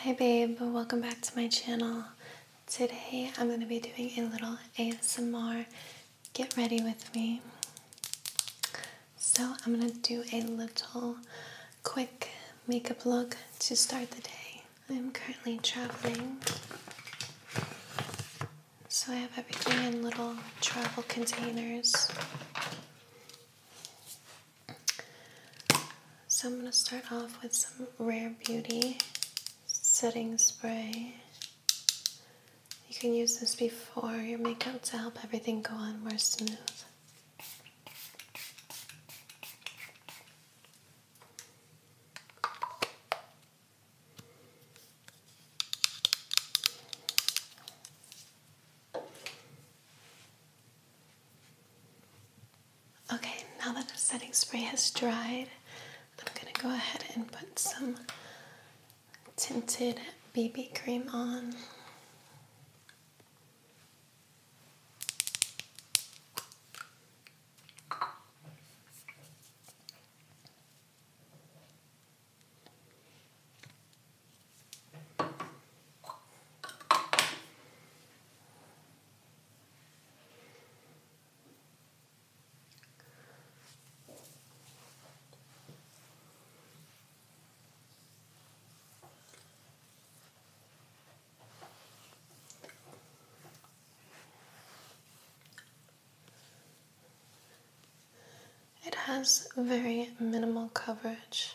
Hi babe, welcome back to my channel. Today I'm going to be doing a little ASMR get ready with me. So I'm going to do a little quick makeup look to start the day. I'm currently traveling, so I have everything in little travel containers. So, I'm going to start off with some Rare Beauty setting spray. You can use this before your makeup to help everything go on more smooth. Okay, now that the setting spray has dried, I'm going to go ahead and put some tinted BB cream on. It has very minimal coverage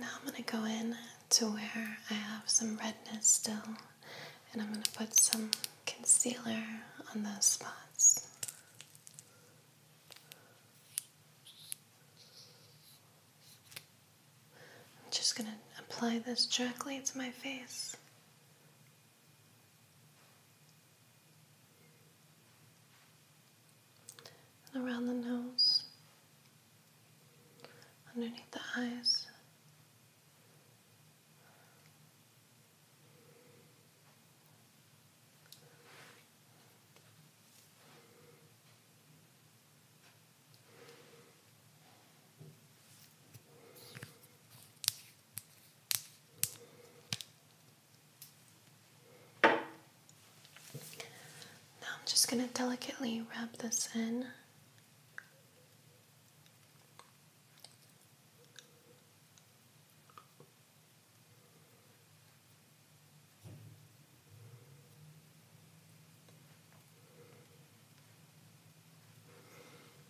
Now I'm going to go in to where I have some redness still and I'm going to put some concealer on those spots. I'm just going to apply this directly to my face and around the nose, underneath the eyes. Now I'm just going to delicately wrap this in.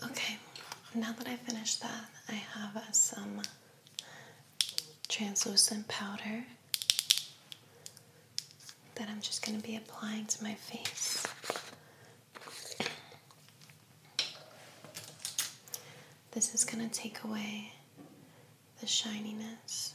Okay, now that I finished that, I have some translucent powder that I'm just going to be applying to my face. This is going to take away the shininess.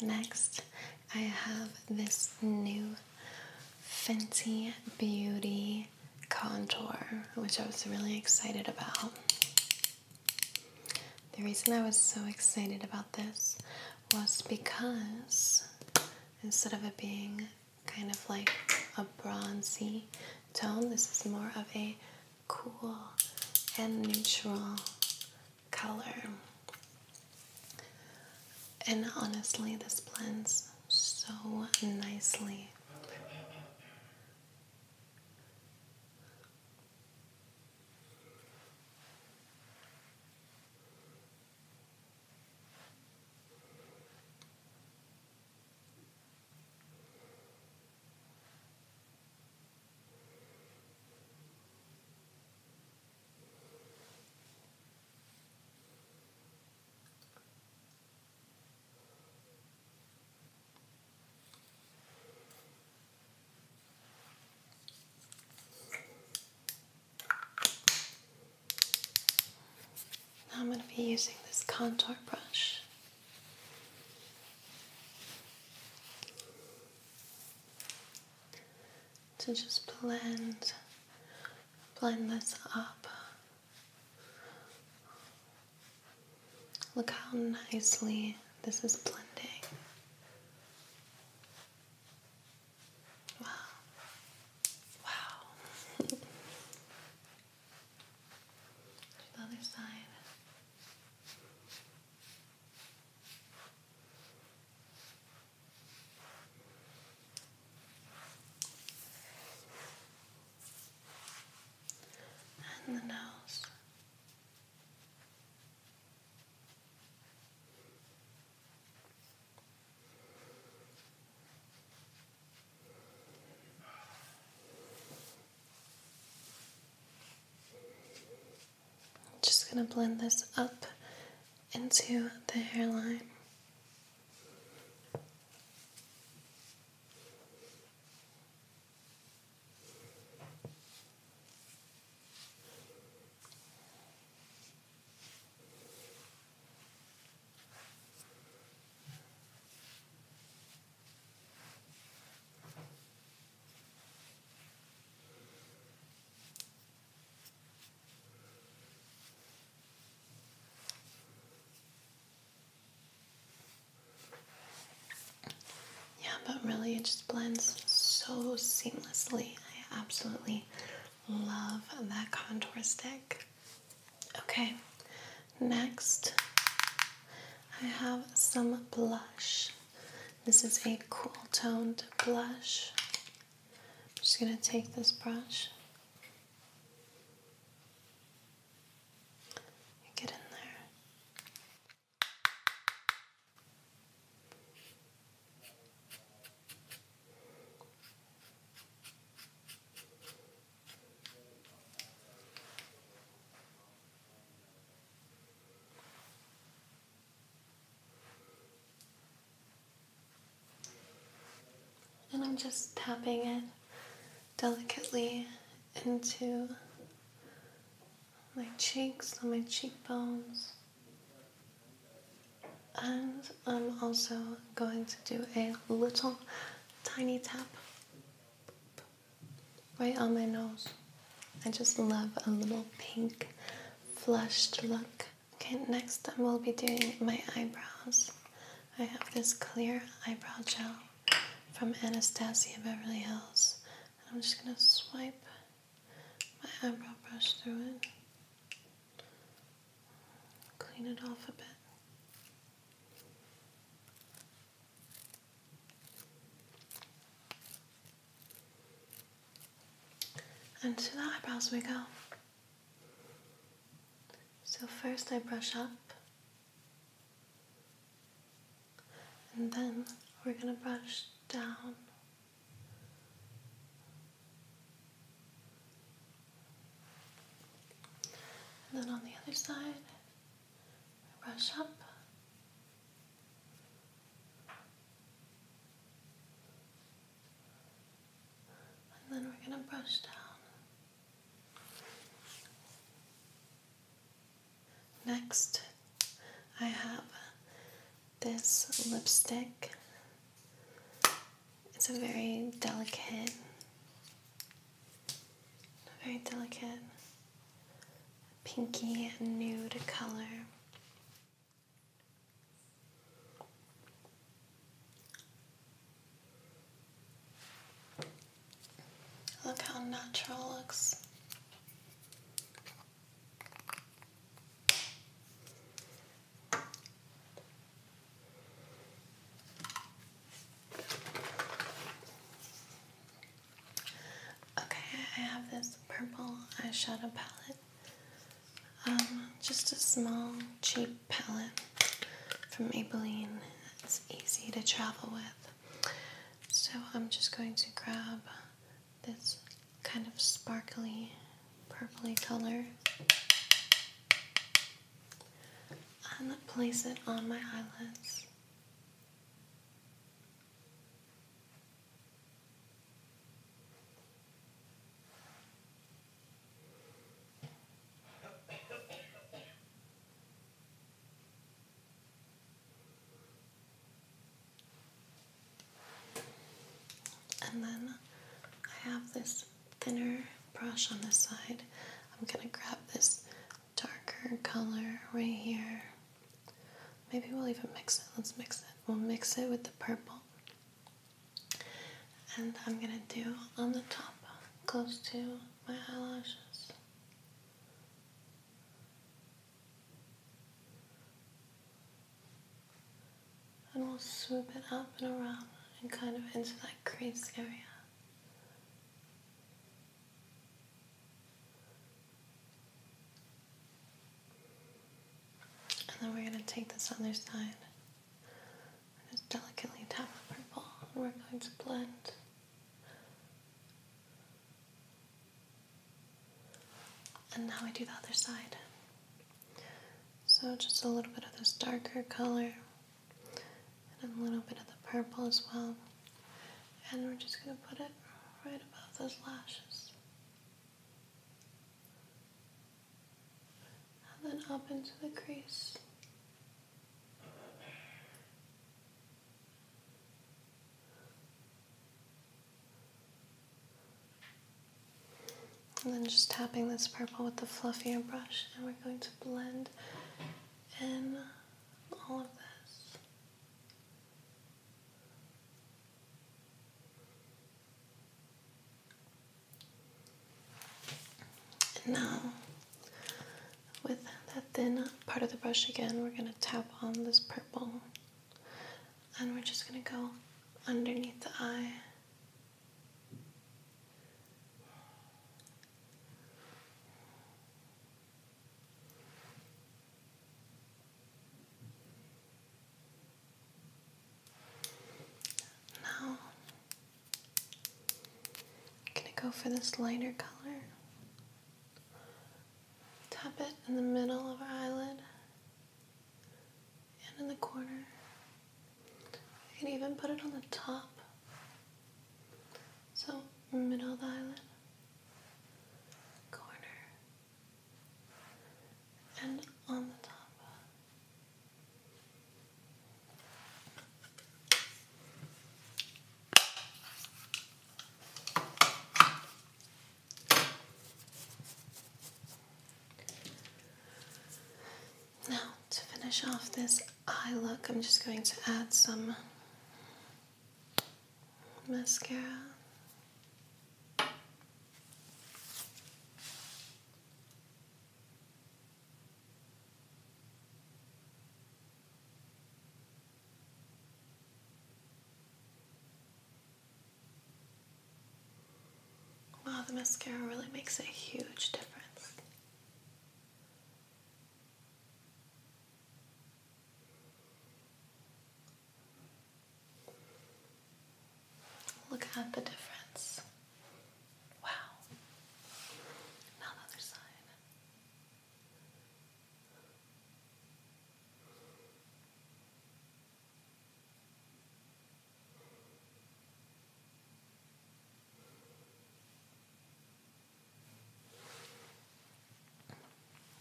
Next, I have this new Fenty Beauty contour, which I was really excited about. The reason I was so excited about this was because instead of it being kind of like a bronzy tone, this is more of a cool and neutral color. And honestly, this blends so nicely. Now I'm going to be using this contour brush to just blend blend this up. Look how nicely this is blending. Wow. Wow. other side and the nose just going to blend this up into the hairline. Yeah, but really it just blends so seamlessly. I absolutely love that contour stick. Okay, next I have some blush. This is a cool toned blush. I'm just going to take this brush get in there. And I'm just tapping it delicately into my cheeks and my cheekbones. And I'm also going to do a little tiny tap right on my nose. I just love a little pink flushed look. Okay, next I will be doing my eyebrows. I have this clear eyebrow gel from Anastasia Beverly Hills. And I'm just gonna swipe my eyebrow brush through it. Clean it off a bit. And to the eyebrows we go. So first I brush up, and then we're going to brush down. And then on the other side, brush up. And then we're going to brush down. Next, I have this lipstick. It's a very delicate, very delicate pinky and nude color. Look how natural looks. Okay, I have this purple eyeshadow palette. Um, just a small, cheap palette from Maybelline. It's easy to travel with. So I'm just going to grab this kind of sparkly, purpley color and place it on my eyelids. And then I have this thinner brush on this side. I'm going to grab this darker color right here. Maybe we'll even mix it. Let's mix it. We'll mix it with the purple. And I'm going to do on the top, close to my eyelashes. And we'll swoop it up and around and kind of into that crease area. And then we're going to take this other side and just delicately tap the purple, and we're going to blend. And now we do the other side. So just a little bit of this darker color and a little bit of the purple as well. And we're just going to put it right above those lashes. And then up into the crease. And then just tapping this purple with the fluffy brush, and we're going to blend in now, with that thin part of the brush again, we're going to tap on this purple and we're just going to go underneath the eye. Now, I'm going to go for this lighter color. Tap it in the middle of our eyelid and in the corner. You can even put it on the top so, middle of the eyelid, corner, and on the top. Now, to finish off this eye look, I'm just going to add some mascara. Wow, the mascara really makes a huge difference. Look at the difference. Wow. Now the other side.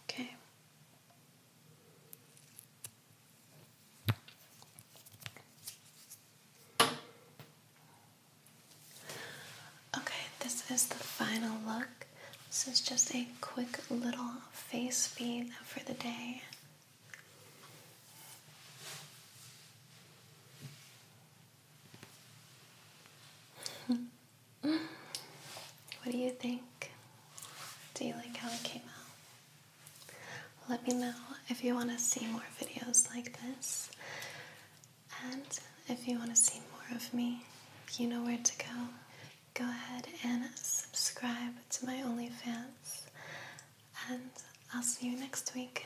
Okay. Okay, this is the final look. This is just a quick little face feed for the day what do you think? Do you like how it came out? Let me know if you want to see more videos like this. And if you want to see more of me, you know where to go. Go ahead and subscribe to my OnlyFans. And I'll see you next week.